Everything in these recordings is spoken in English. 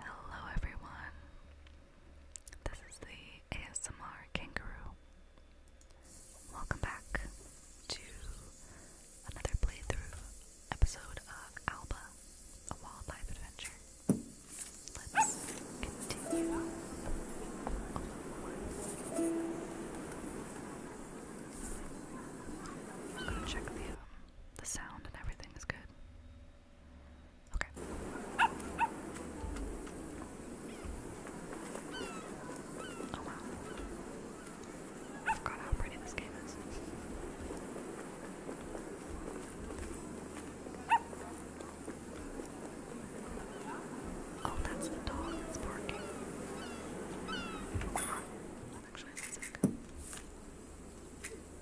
Hello, everyone. This is the ASMR Kangaroo. Welcome back to another playthrough episode of Alba, a wildlife adventure. Let's continue. I'm gonna check the, um, the sound and everything is good. Okay. Oh wow. I how pretty this game is. Oh, that's the dog that's barking. Actually, that's okay.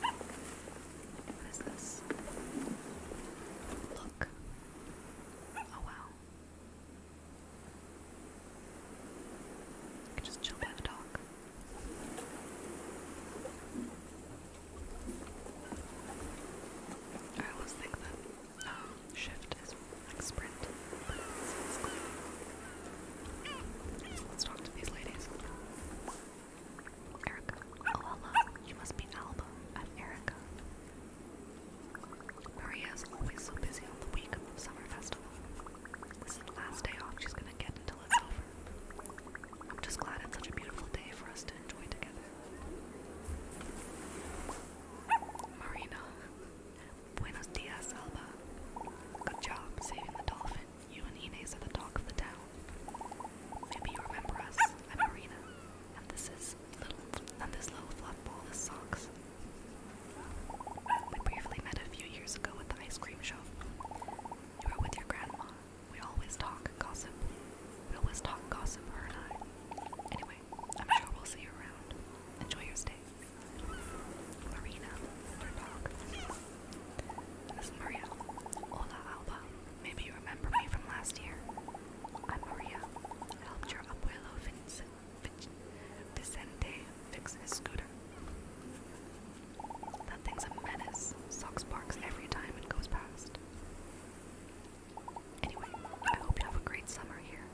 What is this? Look. Oh wow. I could just chill by the dock. I always think that um, shift is like sprint, let's talk to these ladies. Erica. Oh, hello. You must be Alba. I'm Erica. Maria is always so busy on the week of the summer festival. This is the last day off she's gonna get until it's over. I'm just glad it's such a beautiful day for us to enjoy together. Marina. Buenos dias, Alba. Good job saving the dolphin. You and Ines at the talk of the town. Maybe you remember us. I'm Marina, and this is little, and this little fluff ball is Socks. We briefly met a few years ago at the ice cream shop. You were with your grandma. We always talk gossip. We always talk gossip, her and I. Anyway, I'm sure we'll see you around. Enjoy your stay. Marina, her dog. This Maria. Hola, Alba. Maybe you remember me from last year. I'm Maria. helped your abuelo fix his scooter. That thing's a menace. Sucks barks every time it goes past. Anyway, I hope you have a great summer here.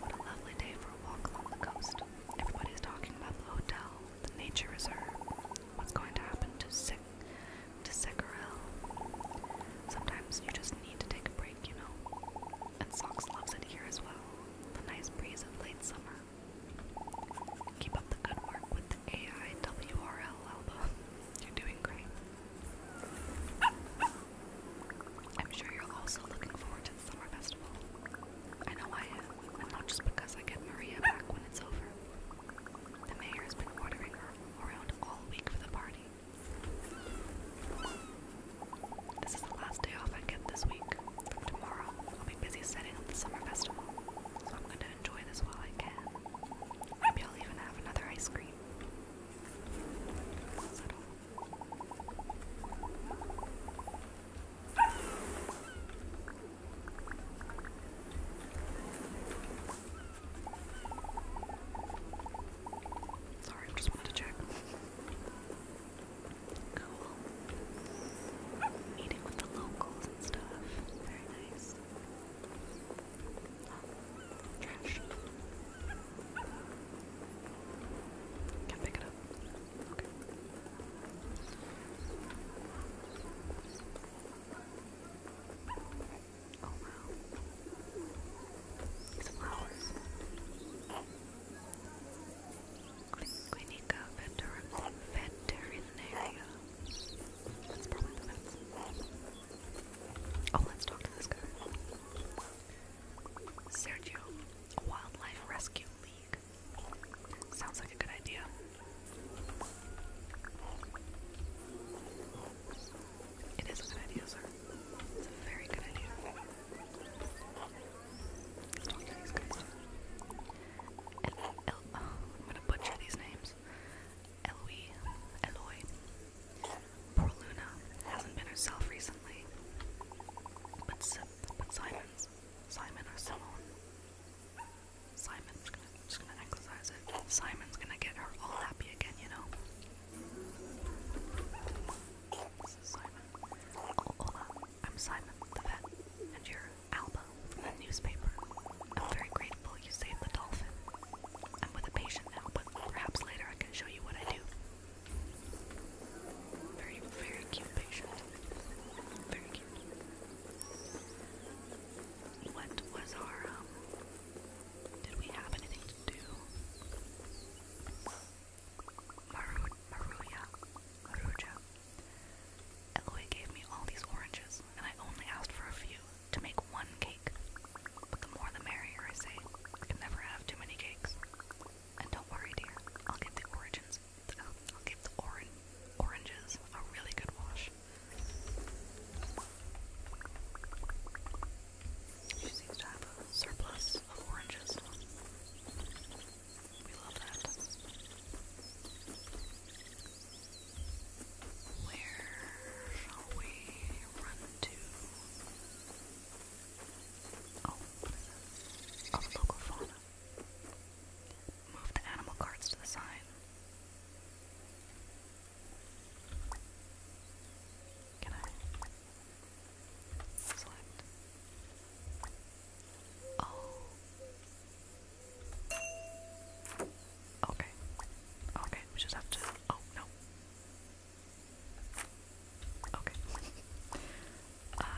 What a lovely day for a walk along the coast. Everybody's talking about the hotel the nature reserve. What's going to happen to Sek to Sekarel? Sometimes you just need to take a break, you know. And Sox loves it here as well. The nice breeze of late summer. Keep up the good work with the AIWRL album. You're doing great. I'm sure you're also looking forward to the summer festival. I know I am not just because I get Maria back when it's over. The mayor has been ordering her around all week for the party. This is the last day off I get this week. Tomorrow, I'll be busy setting up the summer festival, so I'm going to enjoy this while I can. Maybe I'll even have another ice cream. Settle. Sorry, I just wanted to check. Cool. Eating with the locals and stuff. Very nice. Oh, trash. Can't pick it up. Okay. Oh wow. These flowers. Clinica That's probably the best. Oh, let's talk to this guy. Sergio, wildlife rescue league Sounds like a good idea. It is a good idea, It's a very good idea. Oh, I'm gonna butcher these names. Eloy, Eloy. Poor Luna hasn't been herself recently. but Simon's Simon or Simone. Simon's gonna just gonna exercise it. Simon's gonna get her all happy again, you know. Simon. Oh, I'm Simon, the vet, and you're Alba from the newspaper. I'm very grateful you saved the dolphin. I'm with a patient now, but perhaps later I can show you what I do. Very, very cute patient. Very cute. What was our, um, did we have anything to do? Maru Maruja. Maruja. Eloy gave me all these oranges, and I only asked for a few to make one cake. But the more the merrier, I say. I can never have too many cakes. And don't worry, dear, I'll get the origins I'll give the orange oranges a really good wash. She seems to have a surplus of oranges. We love that. Where shall we run to? Oh, what is local fauna. Move the animal cards to the side. Can I select? Oh. Okay. Okay, we just have to. Oh, no. Okay. The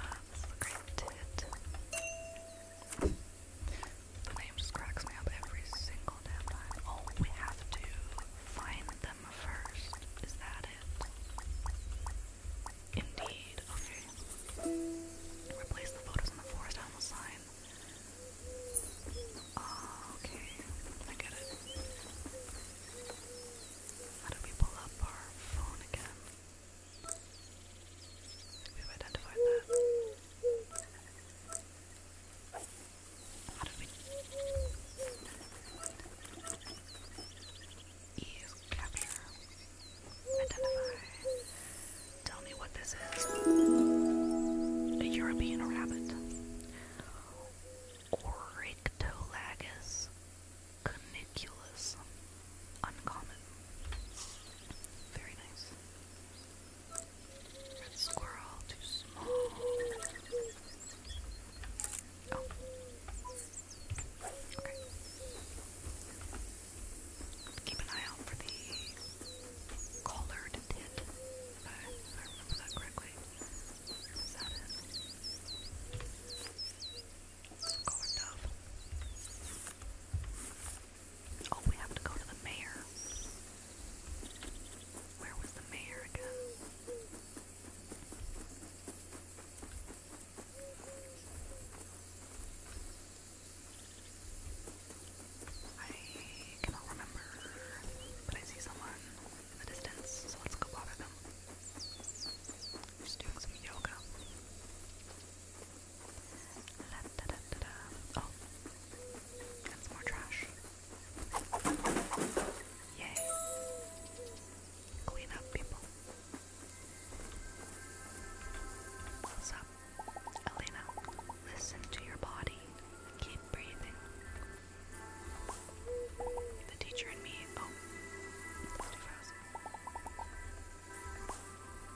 name just me up every single time. Oh, we have to find them first. Is that it? Indeed. Okay. Replace the photos in the forest animal sign. Ah, okay. I get it. How do we pull up our phone again? We've identified that. How did we capture? Identify. Tell me what this is. A European rabbit. Oryctolagus Cuniculus. Uncommon. Very nice. Red squirrel, too small. Oh. Okay. Keep an eye out for the collared tit. If I, if I remember that correctly. Is that it? Oh, we have to go to the mayor. Where was the mayor again? I cannot remember, but I see someone in the distance, so let's go bother them. Just doing some yoga. La, da, Oh, that's more trash. Yay. Clean up, people. What's up? Elena, listen to your body. Keep breathing. The teacher and me. Oh,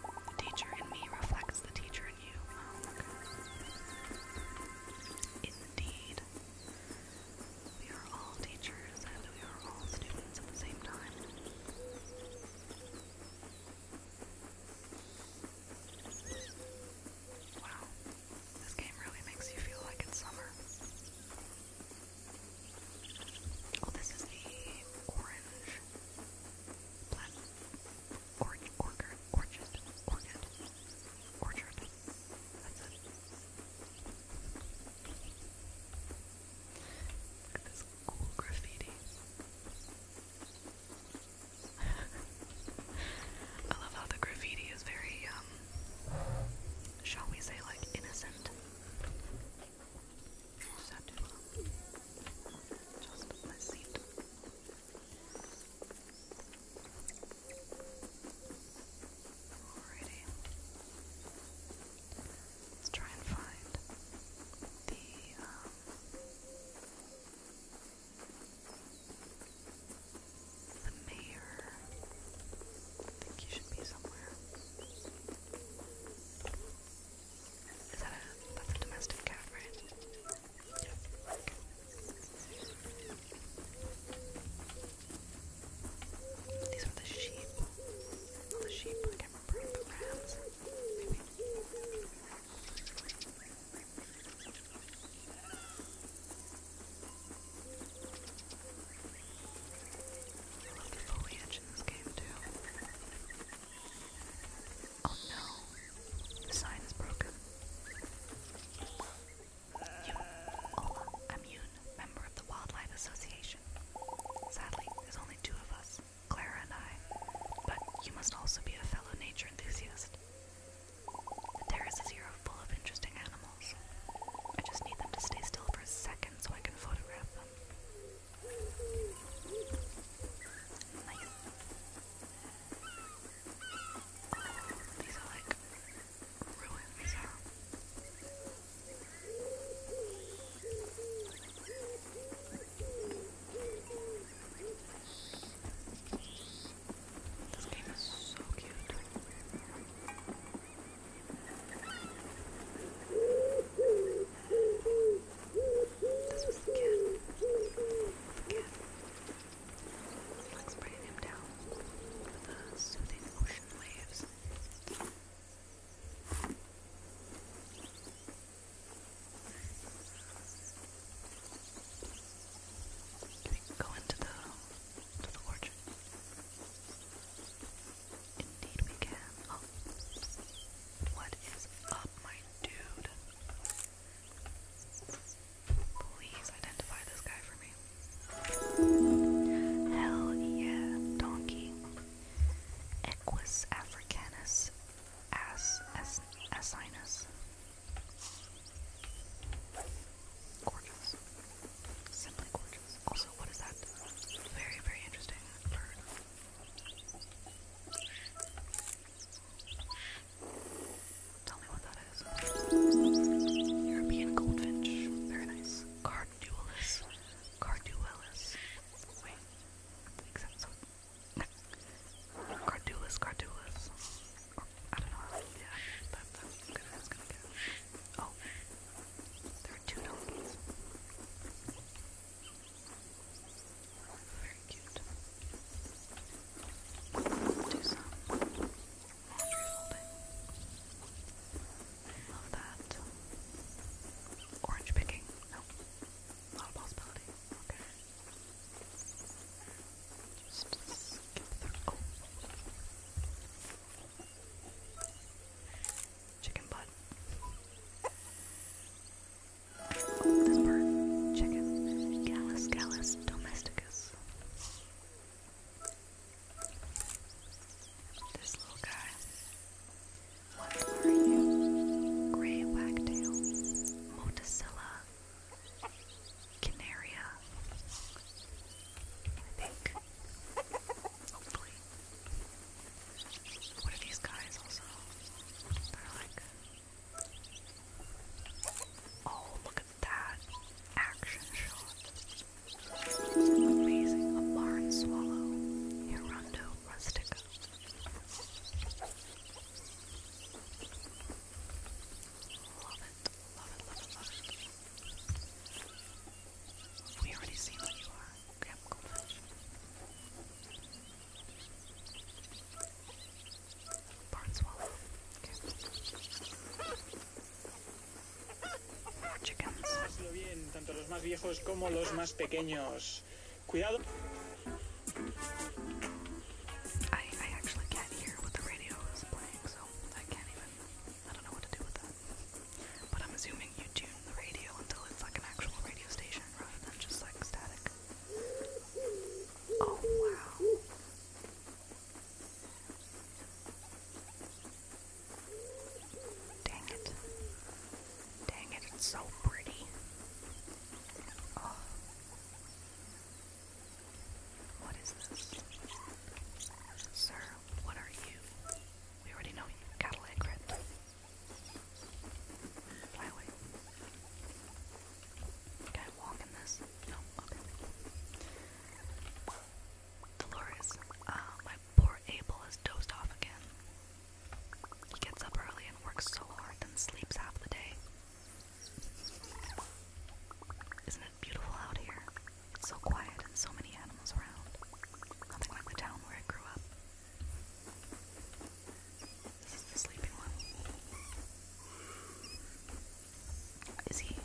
the teacher in me reflects the teacher in you. Oh, Indeed. We are all teachers and we are all students at the same time. Wow, this game really makes you feel like it's summer. Oh, this is the orange plant or orchard, orchard, orchid, orchard. That's it. Look at this cool graffiti. I love how the graffiti is very, um, shall we say, like innocent acceptable. Just pleasant. Alrighty. Let's try and find the um the mayor. I think he should be somewhere. Is that a that's a domestic cat, right? Yeah. Okay. These were the sheep. The sheep, I can't remember the rams. Maybe. I love the foliage in this game too. Oh no, the sign is broken. You, Ola, I'm Yoon, member of the Wildlife Association. Sadly, there's only two of us, Clara and I, but you must also be a fellow nature enthusiast. The terraces here are full of interesting animals. I just need them to stay still for a second so I can photograph them. Nice. Oh, these are like ruins. This game is so cute. This was the kid. Kid. Let's bring him down soothing ocean waves. go into the to the orchard? Indeed we can. Oh. What is up, my dude? Please identify this guy for me. Hell yeah, donkey. Equus africanus ass as asinus. Gorgeous. Simply gorgeous. Also, what is that? Very, very interesting bird. Tell me what that is. European goldfinch. Very nice. Carduelis. Carduelis. Wait. I think that's so. Carduelis, Carduelis. Or, I don't know. Yeah, that, that's good. I was gonna get it. Oh. There are two donkeys. Very cute. Do some laundry folding. Love that. Orange picking. Nope. Not a possibility. Okay. Just skip through. Oh. Chicken butt. Oh, this bird. Chicken. Gallus gallus domesticus. This little guy. What are you? Grey wagtail. Motacilla. Canaria. I think. What are these guys also? They're like. Oh, look at that action shot. Amazing. A barn swallow. Hirundo rustica. Love it. Love it, love it, love it. We already see what you are. crème gommage. Barn swallow. Okay. Chickens. bien, tanto los más viejos como los más pequeños. Cuidado. I, I actually can't hear what the radio is playing, so I can't even. I don't know what to do with that. But I'm assuming you do hearing the radio until it's like an actual radio station rather than just like static. Oh wow. Dang it. Dang it, it's so pretty. Oh. What is this? Sir, what are you? We already know you. Cattle egg, right? Can I walk in this? No, Dolores, uh, my poor Abel has dozed off again. He gets up early and works so hard, then sleeps half the day. Isn't it beautiful out here? so quiet and so many animals around. Nothing like the town where I grew up. This is the sleeping one. Is he?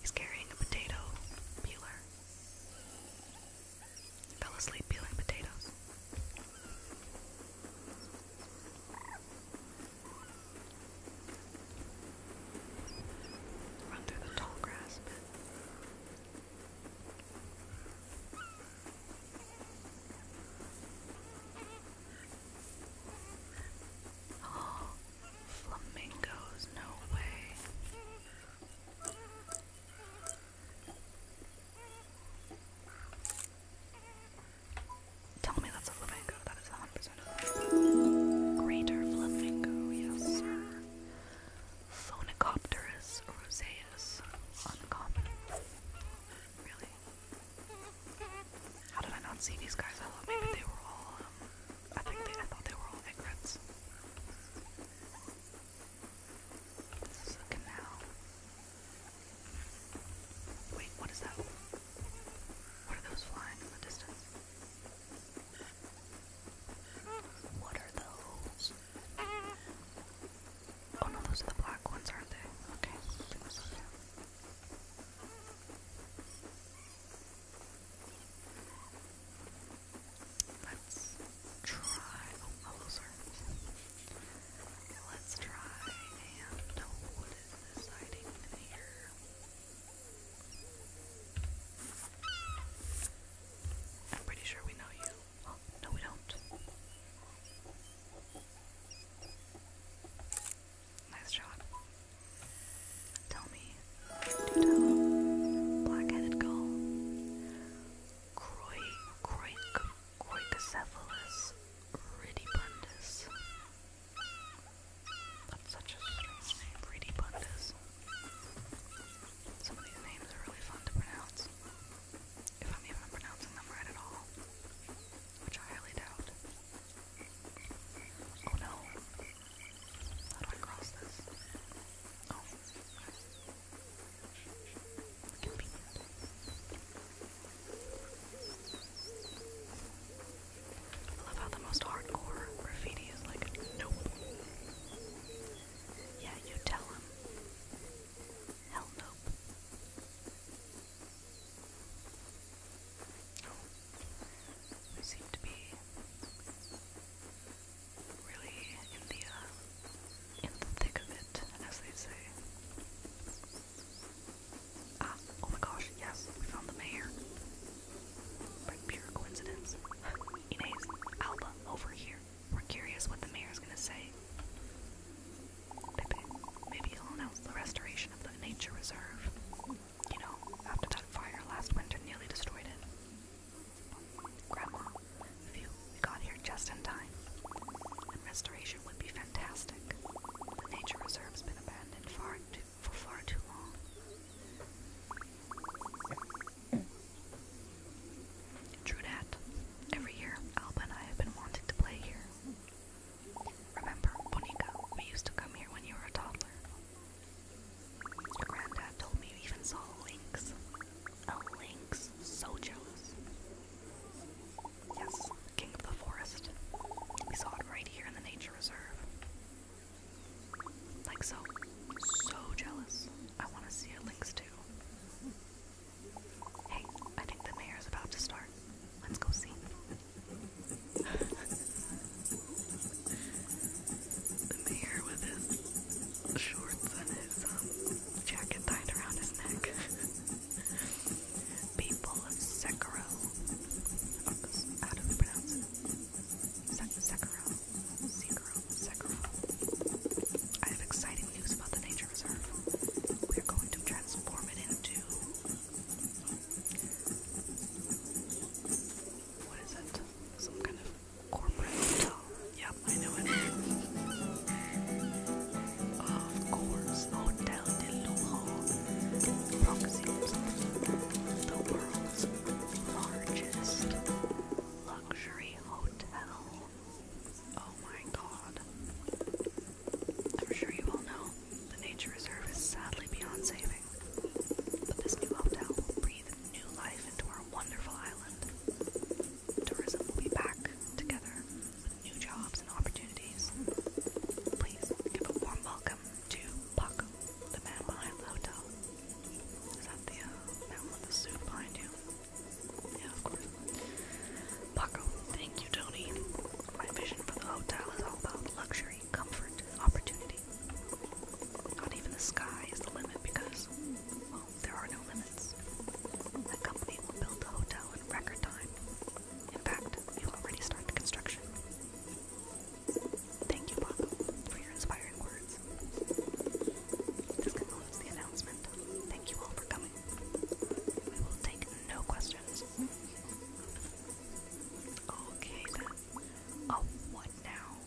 He's carrying a potato peeler. Fell asleep peeling potatoes. Run through the tall grass Oh, flamingos, no way. Tell me that's a flamingo. That is 100% a Greater flamingo, yes, Phonicopterus roseus. Uncommon. Really? How did I not see these guys? I thought maybe they were all, um, I think I thought they were all egrets. This is a canal. Wait, what is that? What are those flying in the distance? What are those? Oh no, those are the black ones, aren't they? Okay. Let's try. Oh, no, Let's try and oh, what is this hiding in here? I'm pretty sure we know you. Oh, no, we don't. Nice job. Tell me, black-headed gull, Croy, Croy, Croicocephalus ridibundus. That's such a strange name, ridibundus. Some of these names are really fun to pronounce if I'm even pronouncing them right at all, which I highly doubt. Oh no. How do this? Oh. I love how the most hardcore graffiti is like, nope. Yeah, you tell him. Hell nope. Oh, we seem to be really in the uh, in the thick of it, as they say. Ah, oh my gosh, yes, we found the mayor. By pure coincidence. Inez, Alba, over here. We're curious what the mayor's gonna say. Maybe, maybe he'll announce the restoration of the nature reserve. You know, after that fire last winter nearly destroyed it. Grandma, we got here just in time. And restoration would be fantastic. The nature reserve's been abandoned far for far too long. True that. Every year, Alba and I have been wanting to play here. Remember, Bonica, we used to come here when you were a toddler. granddad told me you even saw lynx. A oh, lynx. So jealous. Yes, king of the forest. We saw it right here in the nature reserve. Like so. So jealous. I want to see a lynx too. Hey, I think the mayor's about to start. Let's go see. mayor with his shorts and his um, jacket tied around his neck. People of Sekiro. Oh, how do pronounce it? Se Sekiro. I have exciting news about the nature reserve. We are going to transform it into what is it? Some kind of corporate hotel. Yep, I know it. Of course, Hotel de Lujo. the world's largest luxury hotel. Oh my god. I'm sure you all know the nature reserve is sadly beyond saving. But this new hotel will breathe new life into our wonderful island. Tourism will be back together with new jobs and opportunities. Please give a warm welcome to Puck, the man behind the hotel. Is that the man uh, with the suit behind you? Paco, thank you, Tony. My vision for the hotel is all about luxury, comfort, opportunity. Not even the sky is the limit because, well, there are no limits. The company will build the hotel in record time. In fact, you already started construction. Thank you, Paco, for your inspiring words. This concludes the announcement. Thank you all for coming. We will take no questions. Okay then. Oh, what now?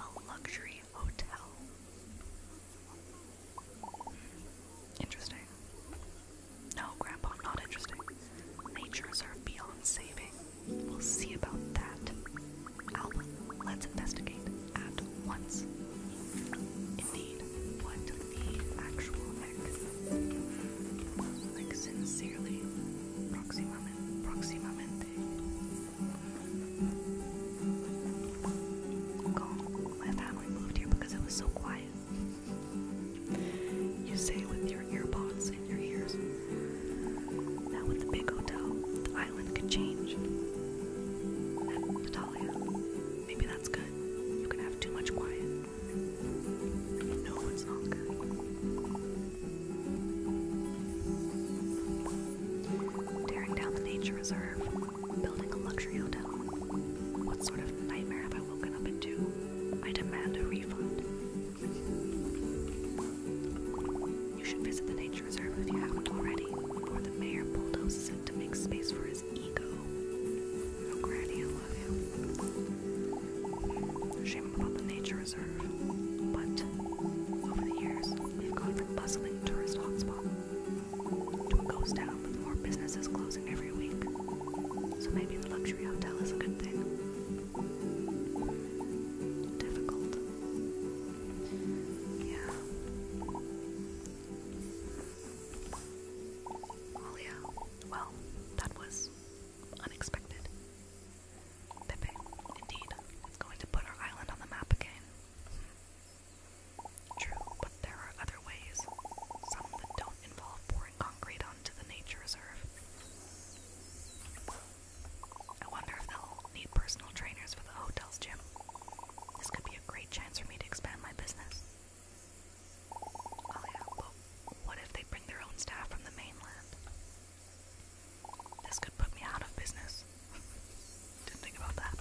A luxury hotel. Interesting. No, Grandpa, not interesting. Nature's are beyond saving. We'll see about that let's investigate at once. Indeed, what the actual heck? Like, sincerely, proximamente, My family moved here because it was so quiet. You say with your earbuds in your ears. Now with the big hotel, island could change. maybe that's good. You can have too much quiet. No, it's not good. Tearing down the nature reserve, building a luxury hotel. What sort of nightmare have I woken up into? I demand a refund. You should visit the nature reserve if you haven't already, before the mayor bulldozes it to make space for his ego. Granny, I love you. Shame about the nature reserve, but over the years, we've gone from bustling tourist hotspot to a ghost town with more businesses closing every week. So maybe the luxury hotel is a good thing. Difficult. Yeah. Well, that was unexpected. Pepe, indeed, it's going to put our island on the map again. Hmm. True, but there are other ways, some that don't involve pouring concrete onto the nature reserve. I wonder if they'll need personal trainers for the hotel's gym. This could be a great chance for me to expand my business. Oh what if they bring their own staff from the mainland? This could put me out of business. Didn't think about that.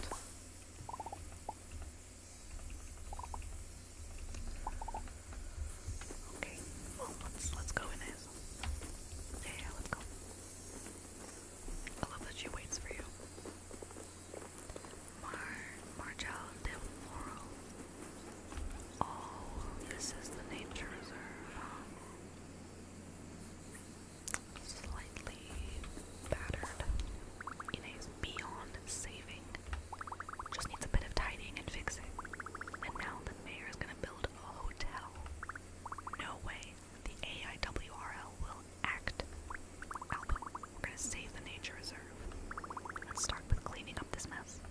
Okay, let's let's go in this. yeah, let's go. I love that she waits for you. Mar Margel del Oh, this is the nature reserve. slightly battered. It is beyond saving. Just needs a bit of tidying and fixing. And now the mayor is gonna build a hotel. No way the AIWRL will act. We're gonna save the nature reserve. Let's start with cleaning up this mess.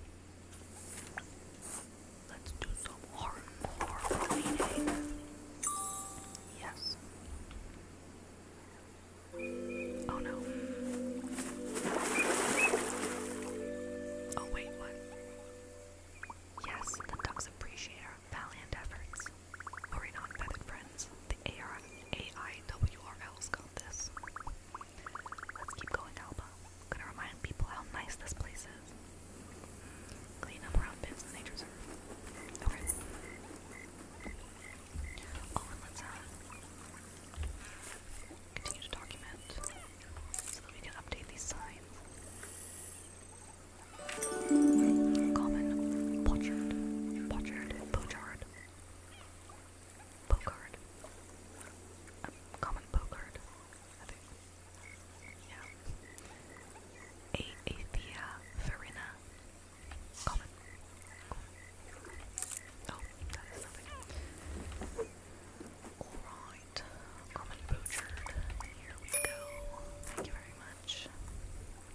Let's do some hardcore cleaning. Yes. Oh no. Oh wait, what? Yes, the ducks appreciate our valiant efforts. Hurrying on, feathered friends. The AR AIWRL's got this. Let's keep going, Alba. I'm gonna remind people how nice this place is. Clean up around Biff's Nature Reserve. Okay. Oh, and let's, uh, continue to document so that we can update these signs. Common. Pochard. Pochard. Pochard. Pocard. A um, common pocard, Yeah. A Farina. Common. Oh, that is nothing. Alright. Common pochard. Here we go. Thank you very much.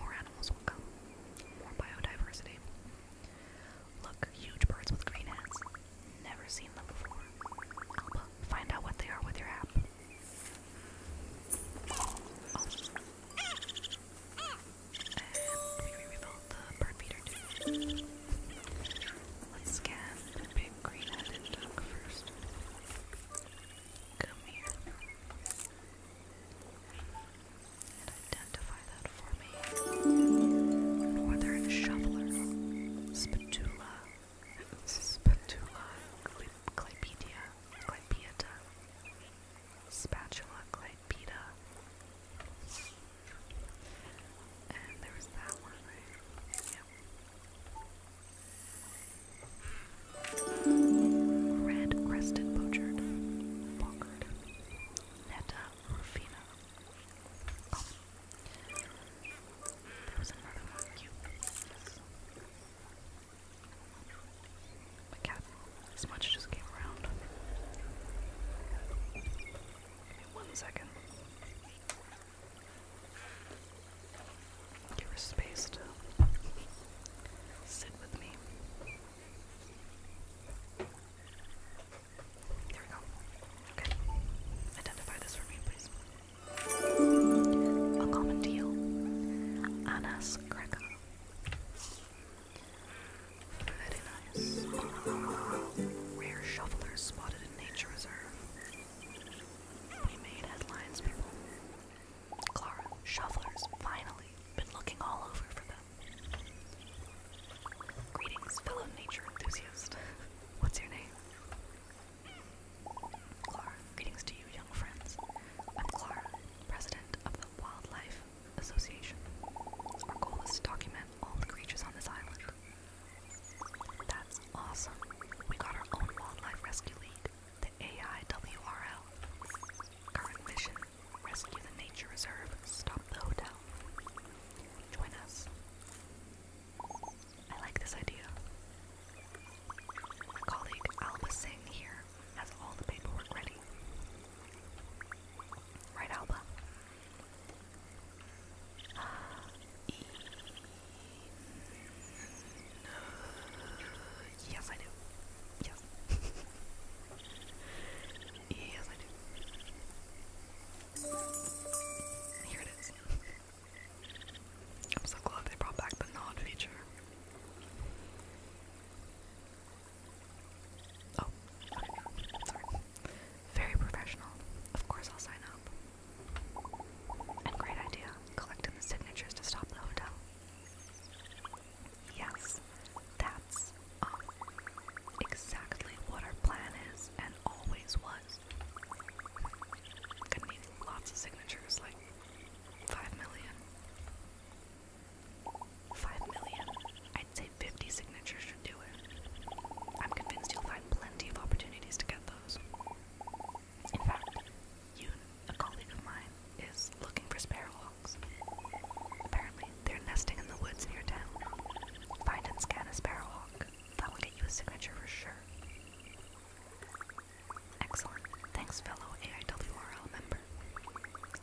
More animals will come. More biodiversity. Look, huge birds with green heads. Never seen them before. Alba, find out what they are with your app. Oh. Let's scan the big green-headed duck first. Come here. Northern shoveler, spatula, spatula, clypedia, clypeata, spatula, clypeda. And there was that one, right? Red Crested Pochard, Bonkard, Netta Oh. My cat. This much just came around. Give me one second. Give her space to sit with me. There we go. Okay. Identify this for me, please. A common deal. Anas greca. Very nice. Rare shovelers spotted in nature reserve. We made headlines, people. Clara, shovlers finally. Been looking all over for them. Greetings, fellow nature enthusiast. What's your name? Clara, greetings to you, young friends. I'm Clara, president of the Wildlife Association. Our goal is to document all the creatures on this island. That's awesome. We got our own Wildlife Rescue League the AIWRL. Current mission rescue the nature reserve, stop the hotel. Join us. I like this idea. colleague Alba Singh here has all the paperwork ready. Right, Alba? Yes, I do. Yes. yes, I do. Here it is. I'm so glad they brought back the nod feature. Oh, Very professional. Of course, I'll sign up. And great idea collecting signatures to stop the hotel. Yes, that's um, exactly what our plan is and always was. Gonna need lots of signatures, like five million. Five million? I'd say 50 signatures should do it. I'm convinced you'll find plenty of opportunities to get those. In fact, a colleague of mine, is looking for sparrowhawks. Apparently, they're nesting in the woods near town. Find and scan a sparrowhawk. That will get you a signature for sure. Excellent. Thanks, fellow AIWRL member.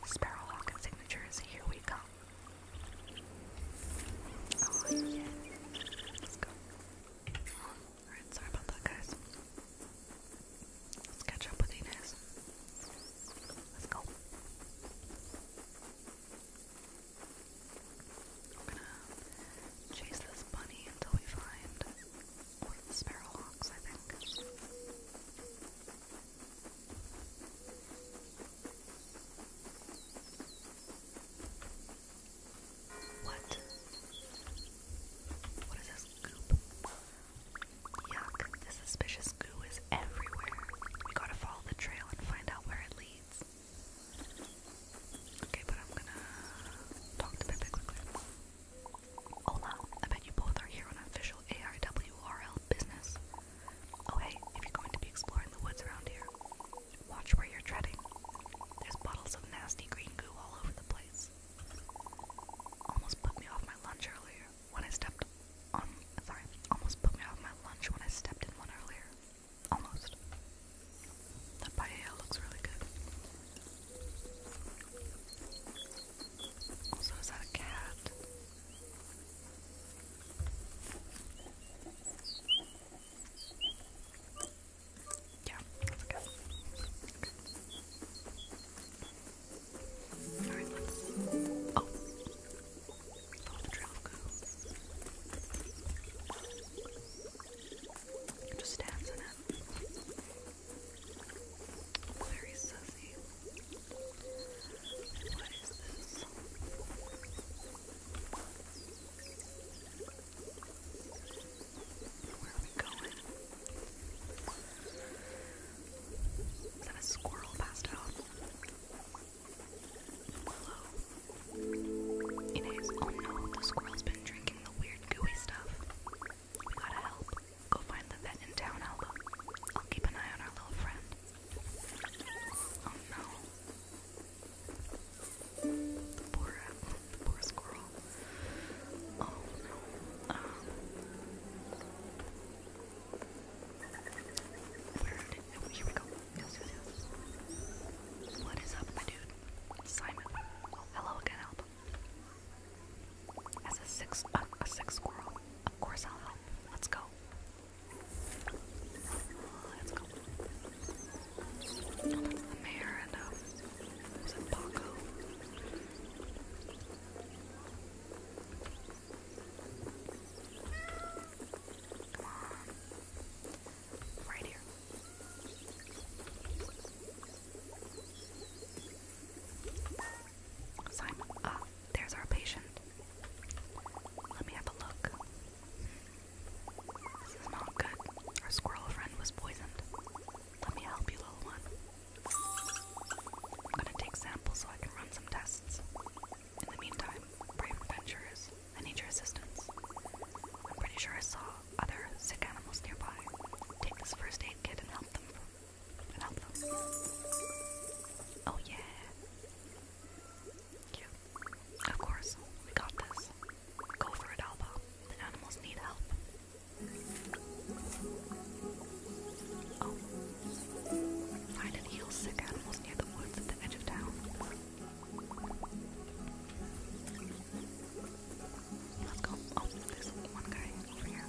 Sparrowhawk signatures here we come. Oh, yeah. go. Alright, sorry about that, guys. Let's catch up with Inez. Let's go. We're gonna chase this bunny until we find the sparrowhawks, I think. What? What is this Yuck, this suspicious goo is everywhere. We gotta follow the trail and find out where it leads. Okay, but I'm gonna talk to Pepe quickly. Hola, I bet you both are here on official ARWRL business. Oh hey, if you're going to be exploring the woods around here, watch where you're treading. There's bottles of nasty green goo all over the place. Almost put me off my lunch earlier when I stepped on, sorry, almost put me off my lunch when I stepped in one earlier. Almost. That paella looks really good. Also, is that a cat? Yeah, that's a cat. Okay. Oh! Follow the trail of Just stabs in it. Very sussy. What is this? Where are we going? Is that a squirrel pastel? Willow. Inez, oh no, the squirrel's been drinking the weird gooey stuff. We gotta help. Go find the vet in town, Alba. I'll keep an eye on our little friend. Oh no. The poor, uh, the poor squirrel. Oh no. Um, Weird. What is up, dude? Simon. hello again, help. As a six, uh, a six squirrel, of course I'll help. Let's go. Uh, let's go. Oh, that's the mayor and um, was it Paco? Simon. Ah, there's our patient. Let me have a look. This is not good. Our squirrel friend was poisoned. Let me help you, little one. I'm gonna take samples so I can run some tests. In the meantime, brave adventurers, I need your assistance. I'm pretty sure I saw other sick animals nearby. Take this first aid kit and help them. And help them. Oh yeah. Cute. Of course, we got this. Go for it, Alba. The animals need help. Oh. Find and heal sick animals near the woods at the edge of town. Let's go. Oh, there's one guy over here.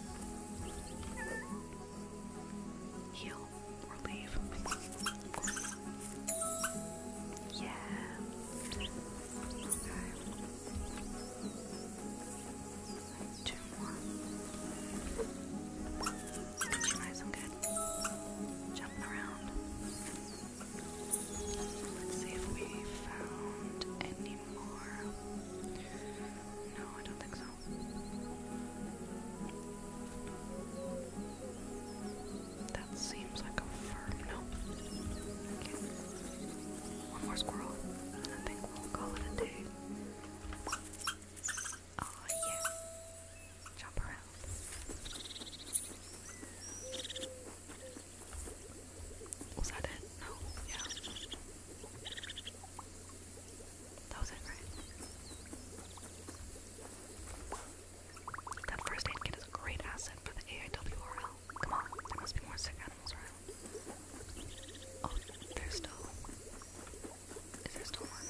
Heal or leave. Of course. Yeah. Okay. Two more. Nice and good. Jumping around. Let's see if we found any more. No, I don't think so. That seems like a firm no. One more squirrel, and I think we'll call it a day. Oh yeah. Jump around. Was that it? No, yeah. That was it, right? That first aid kit is a great asset for the AIWRL. Come on, there must be more sick animals around. Oh, there's still. Is there still one?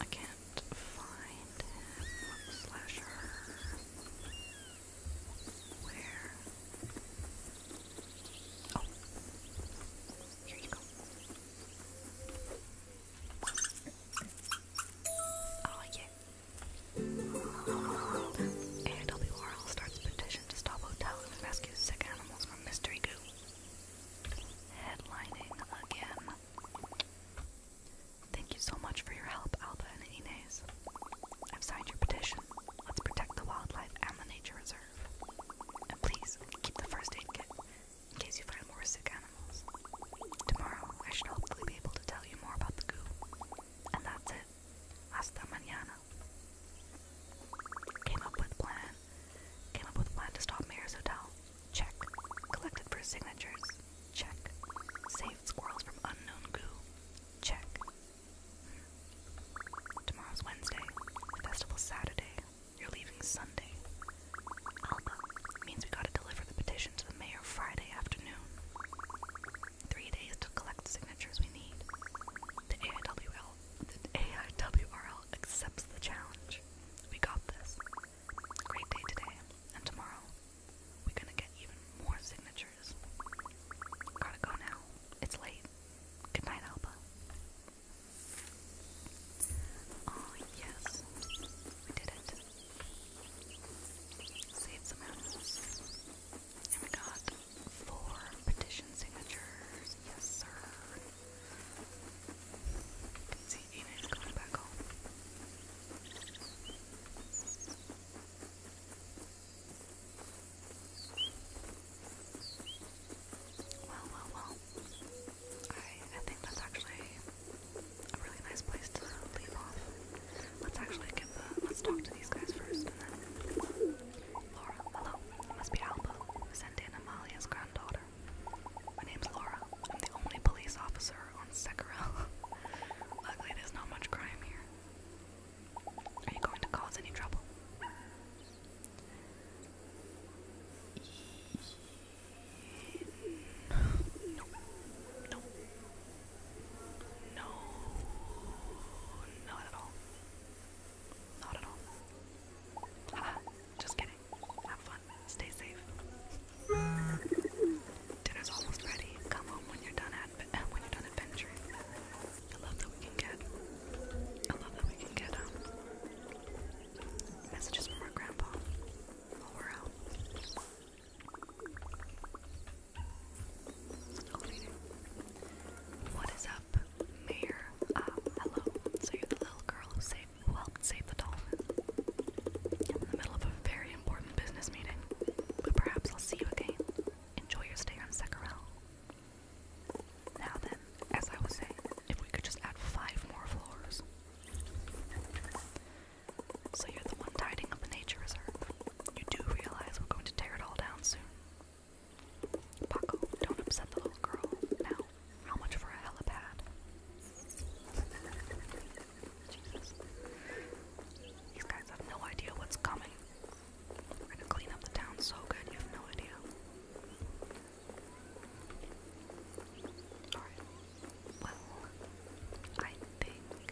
I can't find him slash her. Where? Oh, here you go. Oh yeah. And W. starts petition to stop hotel and sick animals from mystery goo. Headlining again. Thank you so much for your help, Alba and Inez. I've signed your petition. Let's protect the wildlife and the nature reserve. And please keep the first aid kit in case you find more sick animals. Tomorrow, I should hopefully be able to tell you more about the goo. And that's it. Hasta mañana. Came up with plan. Came up with plan to stop Mayor's Hotel. Check. Collected for signatures. Check. Saved squirrels from unknown goo. Check. Hmm. Tomorrow's Wednesday. The Saturday. You're leaving Sunday. Alba means we gotta deliver the petition to the mayor Friday afternoon. Three days to collect signatures we need. The AIWL, the AIWRL accepts the challenge. We got this. Great day today and tomorrow. We're gonna get even more signatures. Gotta go now. It's late. Good night, Alba. Oh, yes, we did it. Saved some animals. And we got four petition signatures. Yes, sir. You can see Enid going back home. Well, well, well. I I think that's actually a really nice place to leave off. Let's actually get Let's talk to these guys first, and then. Laura, hello. must be Alba, Sendin Amalia's granddaughter. My name's Laura. I'm the only police officer on Sekirel. Luckily, there's not much crime here. Are you going to cause any trouble? No. No. No. Not at all. Not at all. Haha, just kidding. Have fun. Stay safe. Dinner's almost ready. Come home when you're done adventuring. I love that we can get I love that we can get um, messages from our grandpa. Over oh, What is up, Mayor? Uh, hello. So you're the little girl who helped save the dolphin. I'm in the middle of a very important business meeting, but perhaps I'll see you again. Enjoy your stay on Secarel. Now then, as I was saying, if we could just add five more floors. So you're the one tidying up a nature reserve. You do realize we're going to tear it all down soon. Paco, don't upset the little girl. Now, how much for a helipad? Jesus. These guys have no idea what's coming. We're gonna clean up the town so good, you have no idea. Well, I think we're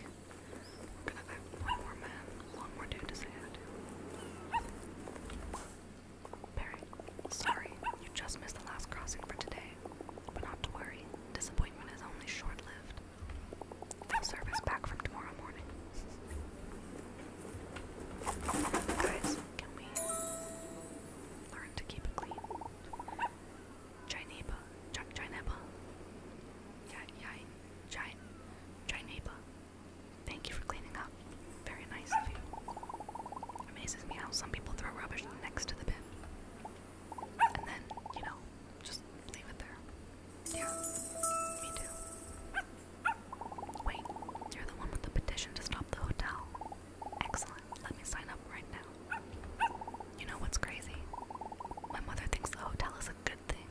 gonna have one more man, one more dude to say hi to. Barry, sorry, you just missed the last crossing for today. But not to worry, disappointment is only short lived. Full service back from tomorrow morning. Guys, can we learn to keep it clean? Chinese, Chinese, Chinese, Chinese. Thank you for cleaning up. Very nice of you. Amazes me how some people throw rubbish next to the bin. And then, you know, just leave it there. Yeah, me too. Wait, you're the one with the petition to stop the hotel. Excellent. Let me sign up right now. You know what's crazy? My mother thinks the hotel is a good thing.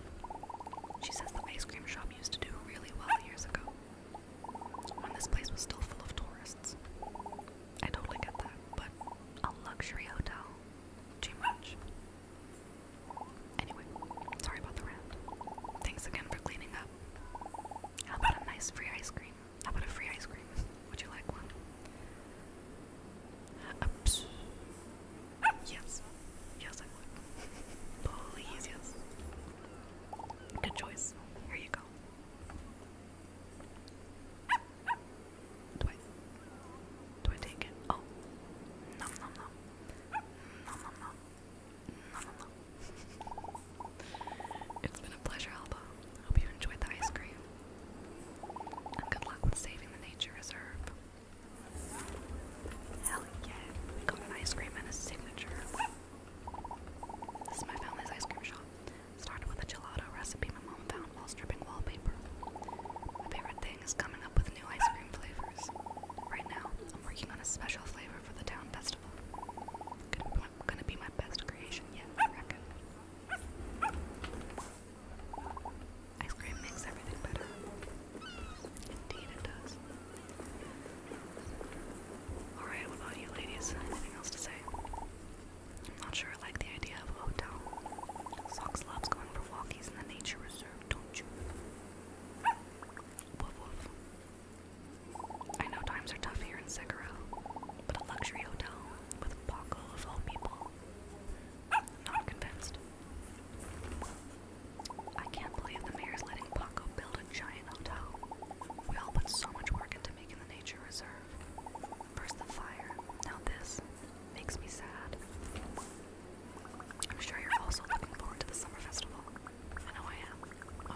She says the ice cream shop used to do really well years ago when this place was still full of tourists. I totally get that, but a luxury hotel? Too much. Anyway, sorry about the rant. Thanks again for cleaning up. How about a nice free ice cream? How about a free ice cream? Would you like one? yes. Yes, I would. Please, yes. Good choice. Here you go. Do I, do I take it? Oh. Nom nom nom. Nom nom nom. Nom it's been a pleasure, Alba. Hope you enjoyed the ice cream. And good luck with saving the nature reserve. Hell yeah. We got an ice cream and a signature. This is my family's ice cream shop. Started with a gelato recipe my mom found while stripping wallpaper. My favorite thing is coming up with new ice cream flavors. Right now, I'm working on a special flavor for the town festival. gonna be my best creation yet, I reckon. Ice cream makes everything better. Indeed, it does. Alright, what about you ladies? Anything else to say? I'm not sure I like the idea of a hotel. Socks loves going for walkies in the nature reserve, don't you? Woof woof. I know times are tough here in Sekiro, but a luxury hotel with Paco of all people. Not convinced. I can't believe the mayor's letting Paco build a giant hotel. We all put so much work into making the nature reserve. First the fire, now this. Makes me sad. I'm sure you're also looking forward to the summer festival. I know I am. Oh,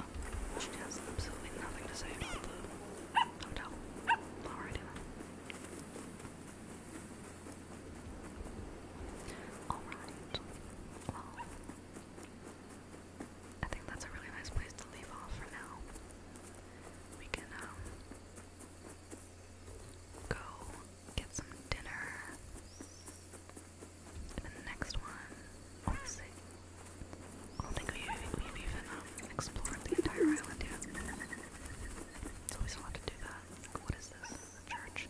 oh, she has absolutely nothing to say about the hotel. Alrighty then. Alright. Well, I think that's a really nice place to leave off for now. We can, um, go get some dinner. And the next one, we I don't think we've, we've even um, explored the entire island yet. always fun to do that. what is this? church?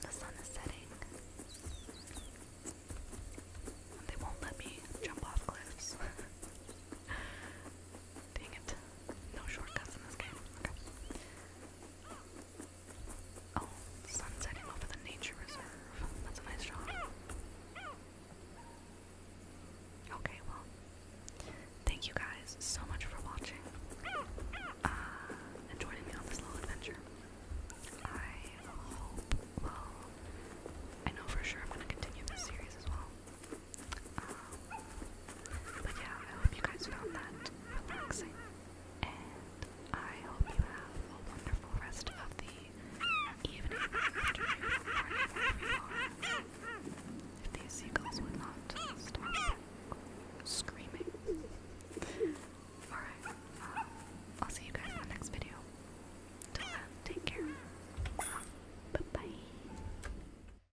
the sun is setting. they won't let me jump off cliffs. Dang it. No shortcuts in this game. Okay. Oh, sun over the nature reserve. That's a nice shot. Okay, well. Thank you guys so much for watching uh, and joining me on this little adventure. I hope, well, I know for sure I'm going to continue this series as well but yeah, I hope you guys found that relaxing, and I hope you have a wonderful rest of the evening, afternoon, morning, wherever you If these seagulls would not stop screaming. Alright, um, I'll see you guys in the next video. take care. Bye bye.